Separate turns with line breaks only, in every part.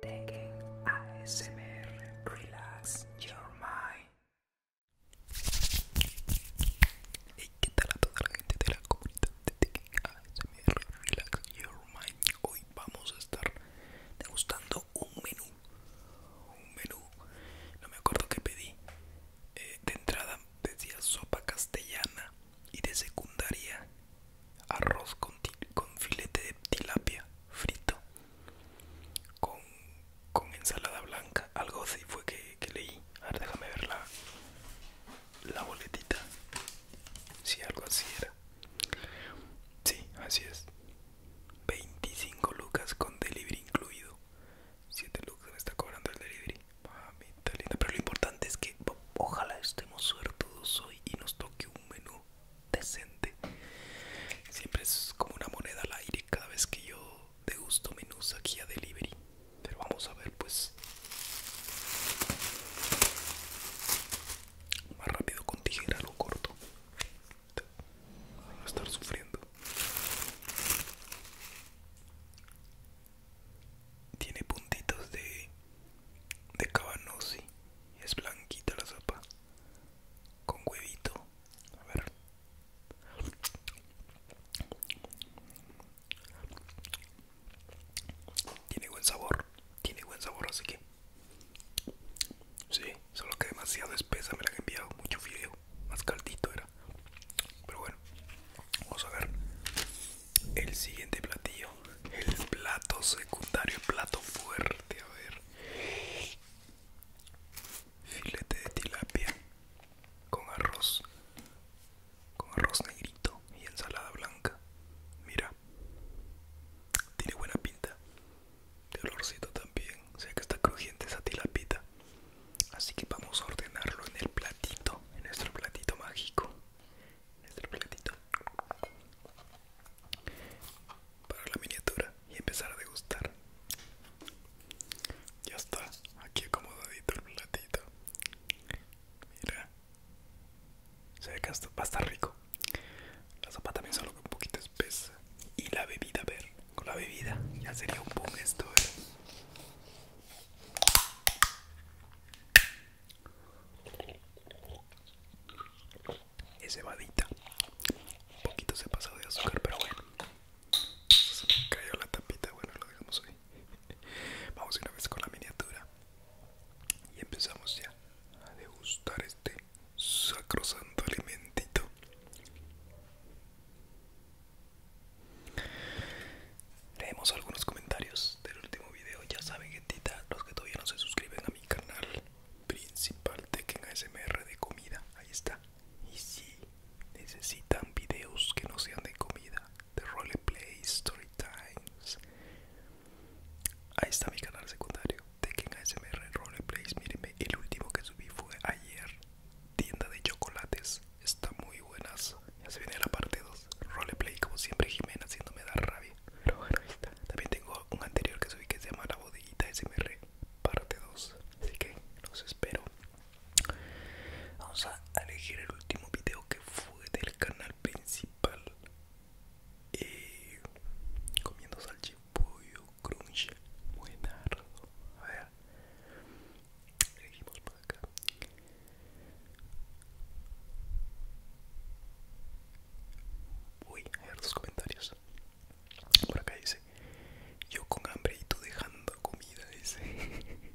Teguen ASMR Relax Your Mind. Hey, ¿qué tal a toda la gente de la comunidad de Tekken ASMR Relax Your Mind? Hoy vamos a estar degustando un menú. Un menú, no me acuerdo qué pedí. Eh, de entrada decía sopa castellana y de secundaria arroz con, filete de tilapia frito con, ensalada blanca algo así fue que, leí a ver déjame ver la, boletita si algo así era sí así es 25 lucas con delivery incluido 7 lucas me está cobrando el delivery ah, está lindo, pero lo importante es que ojalá estemos suertudos hoy y nos toque un menú decente. Siempre es como una moneda al aire cada vez que yo degusto menús aquí a delivery. Pero vamos a ver pues más rápido con tijera lo corto. Voy a estar sufriendo. Tiene puntitos de de cabanossi es blanquita la sopa con huevito a ver tiene buen sabor tiene buen sabor así que sí solo que demasiado espesa me la han enviado mucho frío. más caldito era pero bueno vamos a ver el siguiente platillo, el plato secundario, plato fuerte, a ver. Filete de tilapia con arroz, con arroz negrito y ensalada blanca. Mira, tiene buena pinta. De olorcito también, o sea que está crujiente esa tilapita. Así que vamos a ordenarlo en el platito, en nuestro platito mágico el platito para la miniatura y empezar a degustar. Ya está, aquí acomodadito el platito. Mira, se ve que va a estar rico. La sopa también solo que un poquito espesa. Y la bebida, a ver, con la bebida ya sería un boom esto, ¿eh? es cebadita un poquito se ha pasado de azúcar pero bueno se me cayó la tapita bueno lo dejamos hoy vamos una vez con la miniatura y empezamos ya a degustar este sacrosanto alimentito Leemos algunos comentarios del último video. Ya saben, gentita, los que todavía no se suscriben a mi canal principal de Tekken ASMR de comida. Ahí está. Y si necesitan videos que no sean de comida, de roleplay, story times. Ahí está mi canal secundario, Tekken ASMR Roleplays. Mírenme, el último que subí fue ayer. Tienda de chocolates. Está muy buenas. Ya se viene la parte 2. Roleplay, como siempre, Jimena haciéndome dar rabia. Pero bueno, También tengo un anterior que subí que se llama La Bodeguita SMR Parte 2 Así que los espero Vamos a elegir el último video que fue del canal principal eh, Comiendo salchipollo crunch Buenardo A ver Elegimos por acá Uy, a ver los comentarios. Por acá dice, yo con hambre y tú dejando comida, dice.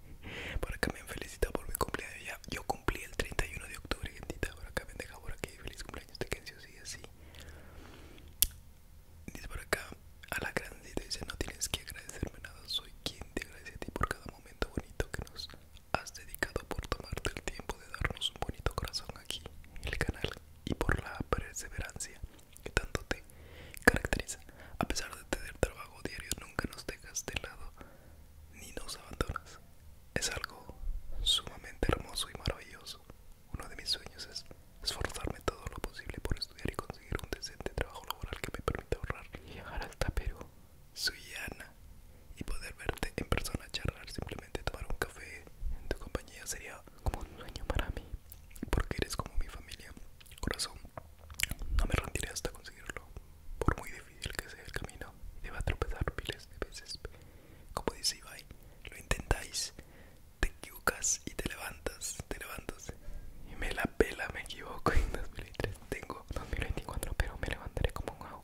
por acá me han por mi cumpleaños. yo cumplí el 31 de octubre, gentita. Por acá me han por aquí. Feliz cumpleaños de sí, así. Dice por acá, a la grandita dice, no tienes que agradecerme nada. Soy quien te agradece a ti por cada momento bonito que nos has dedicado por tomarte el tiempo de darnos un bonito corazón aquí en el canal y por la perseverancia que tanto te caracteriza. A pesar de tener trabajo diario, nunca nos dejas de lado ni nos abandonas. Es algo sumamente hermoso y maravilloso. Uno de mis sueños es esforzarme todo lo posible por estudiar y conseguir un decente trabajo laboral que me permita ahorrar y llegar hasta Perú Suyana y poder verte en persona, charlar, simplemente tomar un café en tu compañía sería como un sueño para mí, porque eres como mi familia. Corazón, no me rendiré hasta conseguirlo, por muy difícil que sea el camino, va a tropezar miles de veces. Como dice Ibai, lo intentáis, te equivocas y te levantas, te levantas y me la pela, me equivoco en 2003. Tengo 2024, pero me levantaré como un agua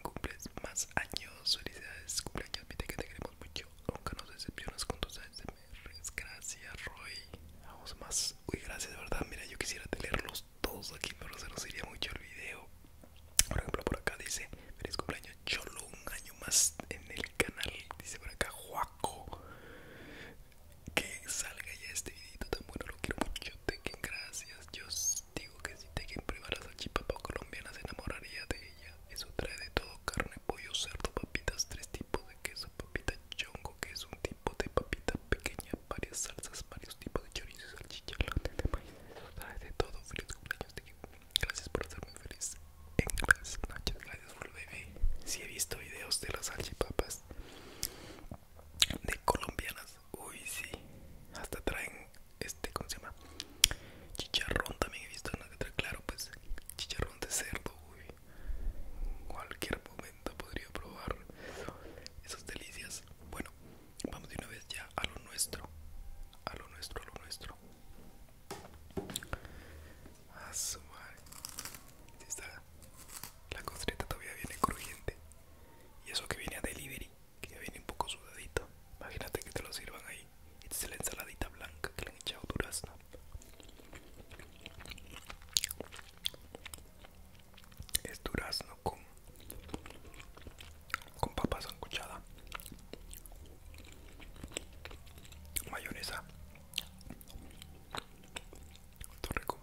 cumples más años, felicidades, cumpleaños, que te queremos mucho, nunca nos decepcionas con tus ASMRs, gracias Roy, vamos más, uy gracias de verdad, mira yo quisiera tenerlos todos aquí pero se nos iría mucho el video, por ejemplo por acá dice, feliz cumpleaños Cholo, un año más en el canal, dice por acá Juaco, que salga ya este video tan bueno, lo quiero mucho, te gracias, Dios Digo que si te quien probar las salchipapa colombiana se enamoraría de ella. Eso trae de todo, carne, pollo, cerdo, papitas, tres tipos de queso, papita chongo, que es un tipo de papita pequeña, varias salsas, varios tipos de chorizo salchichas, salchicha, de maíz, eso trae de todo. Feliz cumpleaños, Gracias por hacerme feliz en clase Gracias por el bebé. Si he visto videos de las salchipapas de colombianas Uy, sí. Hasta traen este, ¿cómo se llama? Chicharrón también he visto en la letra, claro, pues chicharrón de cerdo, uy. En cualquier momento podría probar esas delicias. Bueno, vamos de una vez ya a lo nuestro. A lo nuestro, a lo nuestro. A ah, Está. La costrita todavía viene crujiente. Y eso que viene a delivery que ya viene un poco sudadito. Imagínate que te lo sirvan ahí. Esta es la ensaladita blanca que le han echado durazno. Es durazno con con papa sancochada, mayonesa, rico.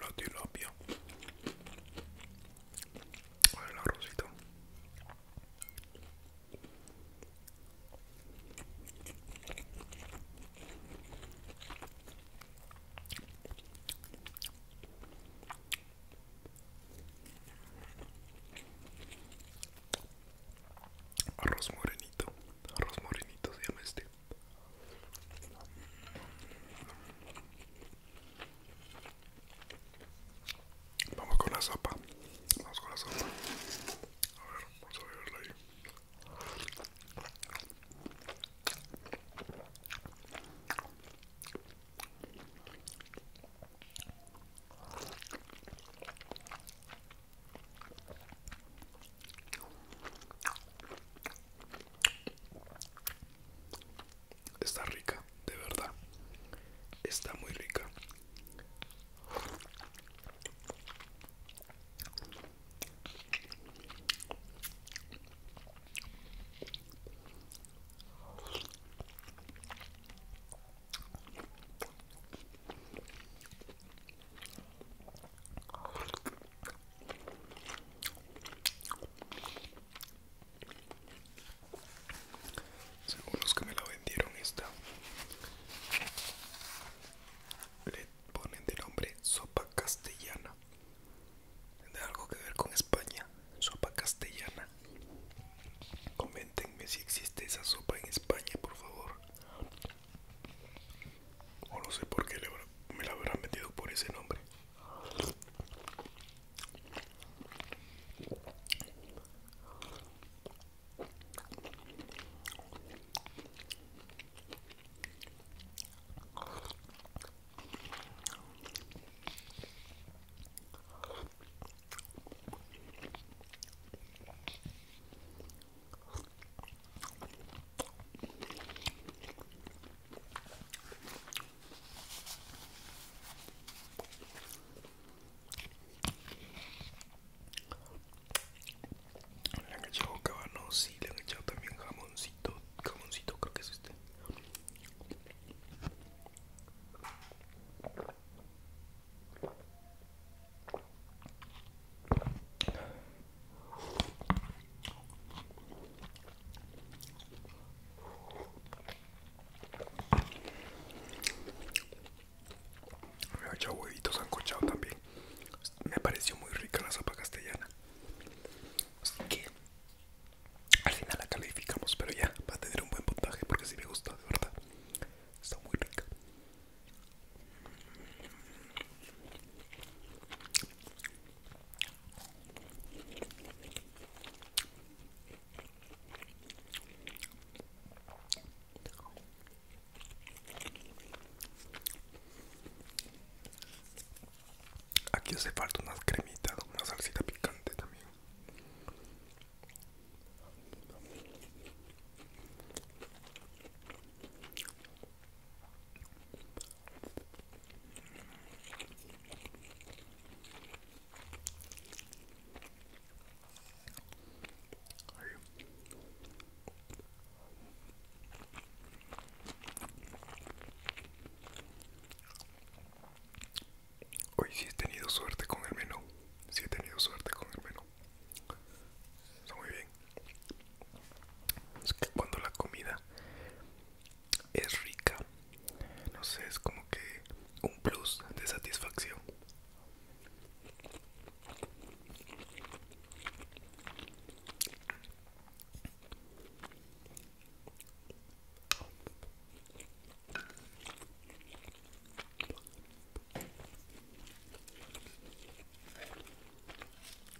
La tilapia. El arrocito. Arroz morenito, arroz morenito se llama este. Vamos con la sopa. Vamos con la sopa. A ver, vamos a verla ahí. Está rica, de verdad. Está muy rica. Según los que me la vendieron esta Le ponen de nombre sopa castellana Tiene algo que ver con España Sopa castellana Coméntenme si existe esa sopa en España por favor o no sé por qué me la habrán metido por ese nombre. Le han echado cabano, sí, le han echado también jamoncito, jamoncito creo que es este. Me ha hecho huevitos ancochado también. Me pareció muy rica la sopa castellana. Así que al final la calificamos, pero ya va a tener un buen puntaje porque si me gusta, de verdad. Está muy rica. Aquí hace falta unas cremitas, una salsita picante también. Hoy sí he tenido suerte con el menú. Si he tenido suerte con el menú. Está muy bien. Es que cuando la comida es rica, no sé, es como que un plus de satisfacción.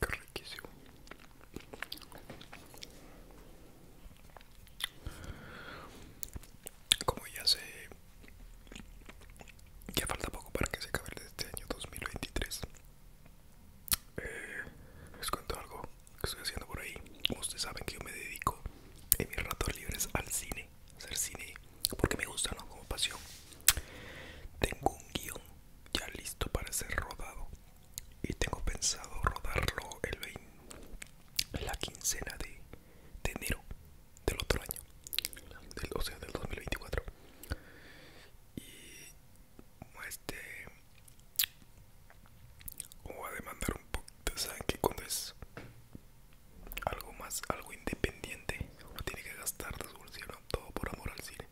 Qué riquísimo. Como ya se ya falta poco para que se acabe este año 2023. Eh, les cuento algo que estoy haciendo por ahí. Ustedes saben que yo me dedico en mis ratos libres al cine, hacer cine porque me gusta, ¿no? Como pasión. Tengo un guión ya listo para ser rodado y tengo pensado rodarlo el la quincena de, enero del otro año, del, o sea del 2024. Y este va a demandar un poquito, saben que cuando es algo más, algo independiente, uno tiene que gastar de todo por amor al cine.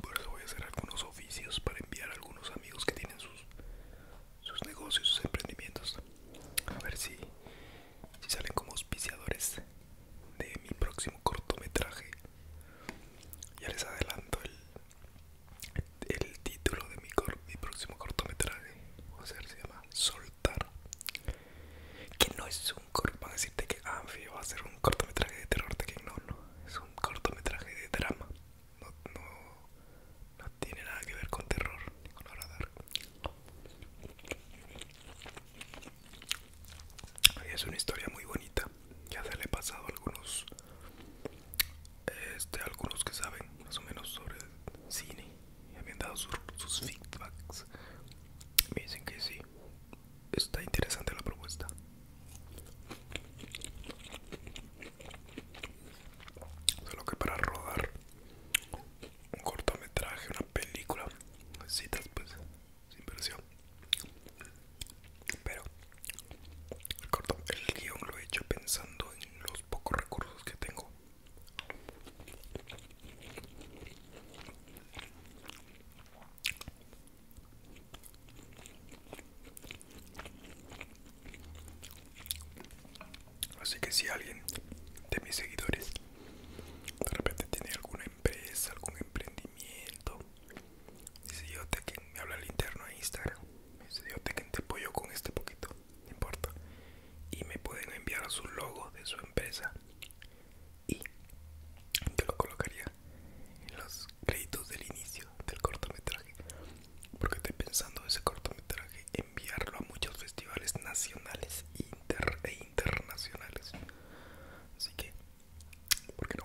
Por eso voy a hacer algunos oficios para enviar a algunos amigos que tienen sus, sus negocios, sus emprendimientos. A ver si, salen como auspiciadores de mi próximo cortometraje. Ya les adelanto el, el título de mi, mi próximo cortometraje. a ser, se llama Soltar. Que no es un corto, para decirte que va ah, a ser un cortometraje de terror, de que no, no, es un cortometraje de drama, no, tiene nada que ver con terror ni es una historia muy bonita, ya se le he pasado a algunos, este, algunos que saben más o menos sobre cine, y me han dado sus, sus feedbacks, me dicen que sí, está interesante la propuesta. Solo que para rodar un cortometraje, una película, necesitas pues inversión. Pero el, el guión lo he hecho pensando en los pocos recursos que tengo. Así que si alguien de mis seguidores de repente tiene alguna empresa, algún emprendimiento, dice yo te que me habla el interno de Instagram, dice yo te quien te apoyo con este poquito, no importa, y me pueden enviar su logo de su empresa y te lo colocaría en los créditos del inicio del cortometraje, porque estoy pensando en ese cortometraje enviarlo a muchos festivales nacionales e internacionales. Así que, ¿por qué no?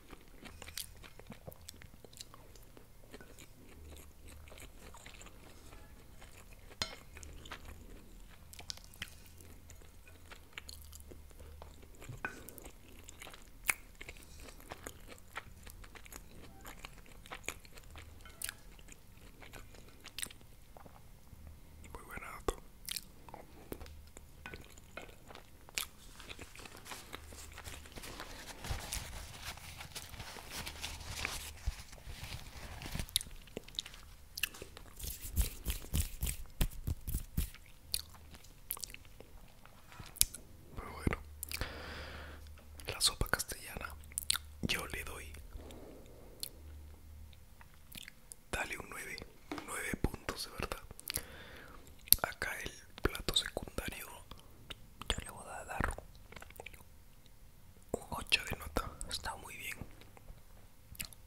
Muy barato. Pero bueno, la sopa castellana yo le doy. Dale un 9, 9 puntos de verdad. Acá el plato secundario yo le voy a dar un 8 de nota, está muy bien.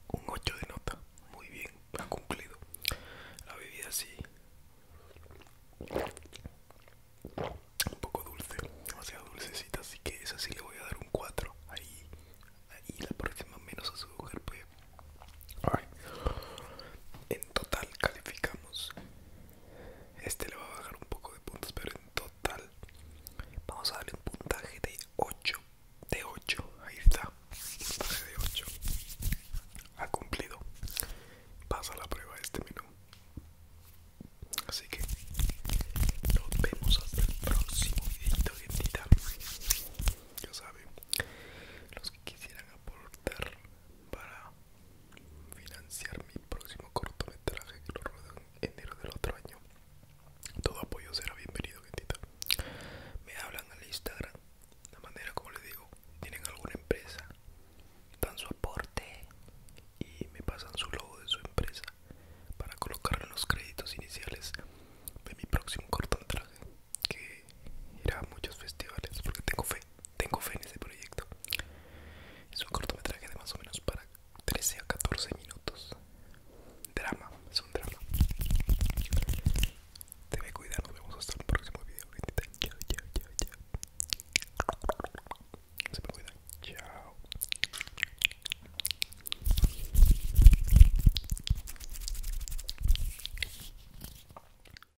Un 8 de nota, muy bien, ha cumplido. La bebida sí. Un poco dulce, demasiado dulcecita, así que esa sí le voy a dar un 4. Ahí, ahí la próxima menos a su mujer, pues total calificamos. Este le va a bajar un poco de puntos, pero en total vamos a darle un puntaje de 8. De 8, ahí está. Puntaje de 8. Ha cumplido. Pasa la prueba este menú. Así que nos vemos hasta el próximo video, gentita. Ya saben, los que quisieran aportar para financiar mi próximo cortometraje que lo rodan enero del otro año. Todo apoyo será bienvenido, Me hablan al Instagram, la manera como les digo, tienen alguna empresa, dan su aporte y me pasan su logo de su empresa para colocar en los créditos iniciales de mi próximo cortometraje que irá a muchos festivales porque tengo fe tengo fe en ese proyecto. Es un cortometraje de más o menos para 13 a 14 minutos. Drama, es un drama. Te ve cuidar, nos vemos hasta el próximo video. Chao, chao, chao, chao. Se me cuidan, chao.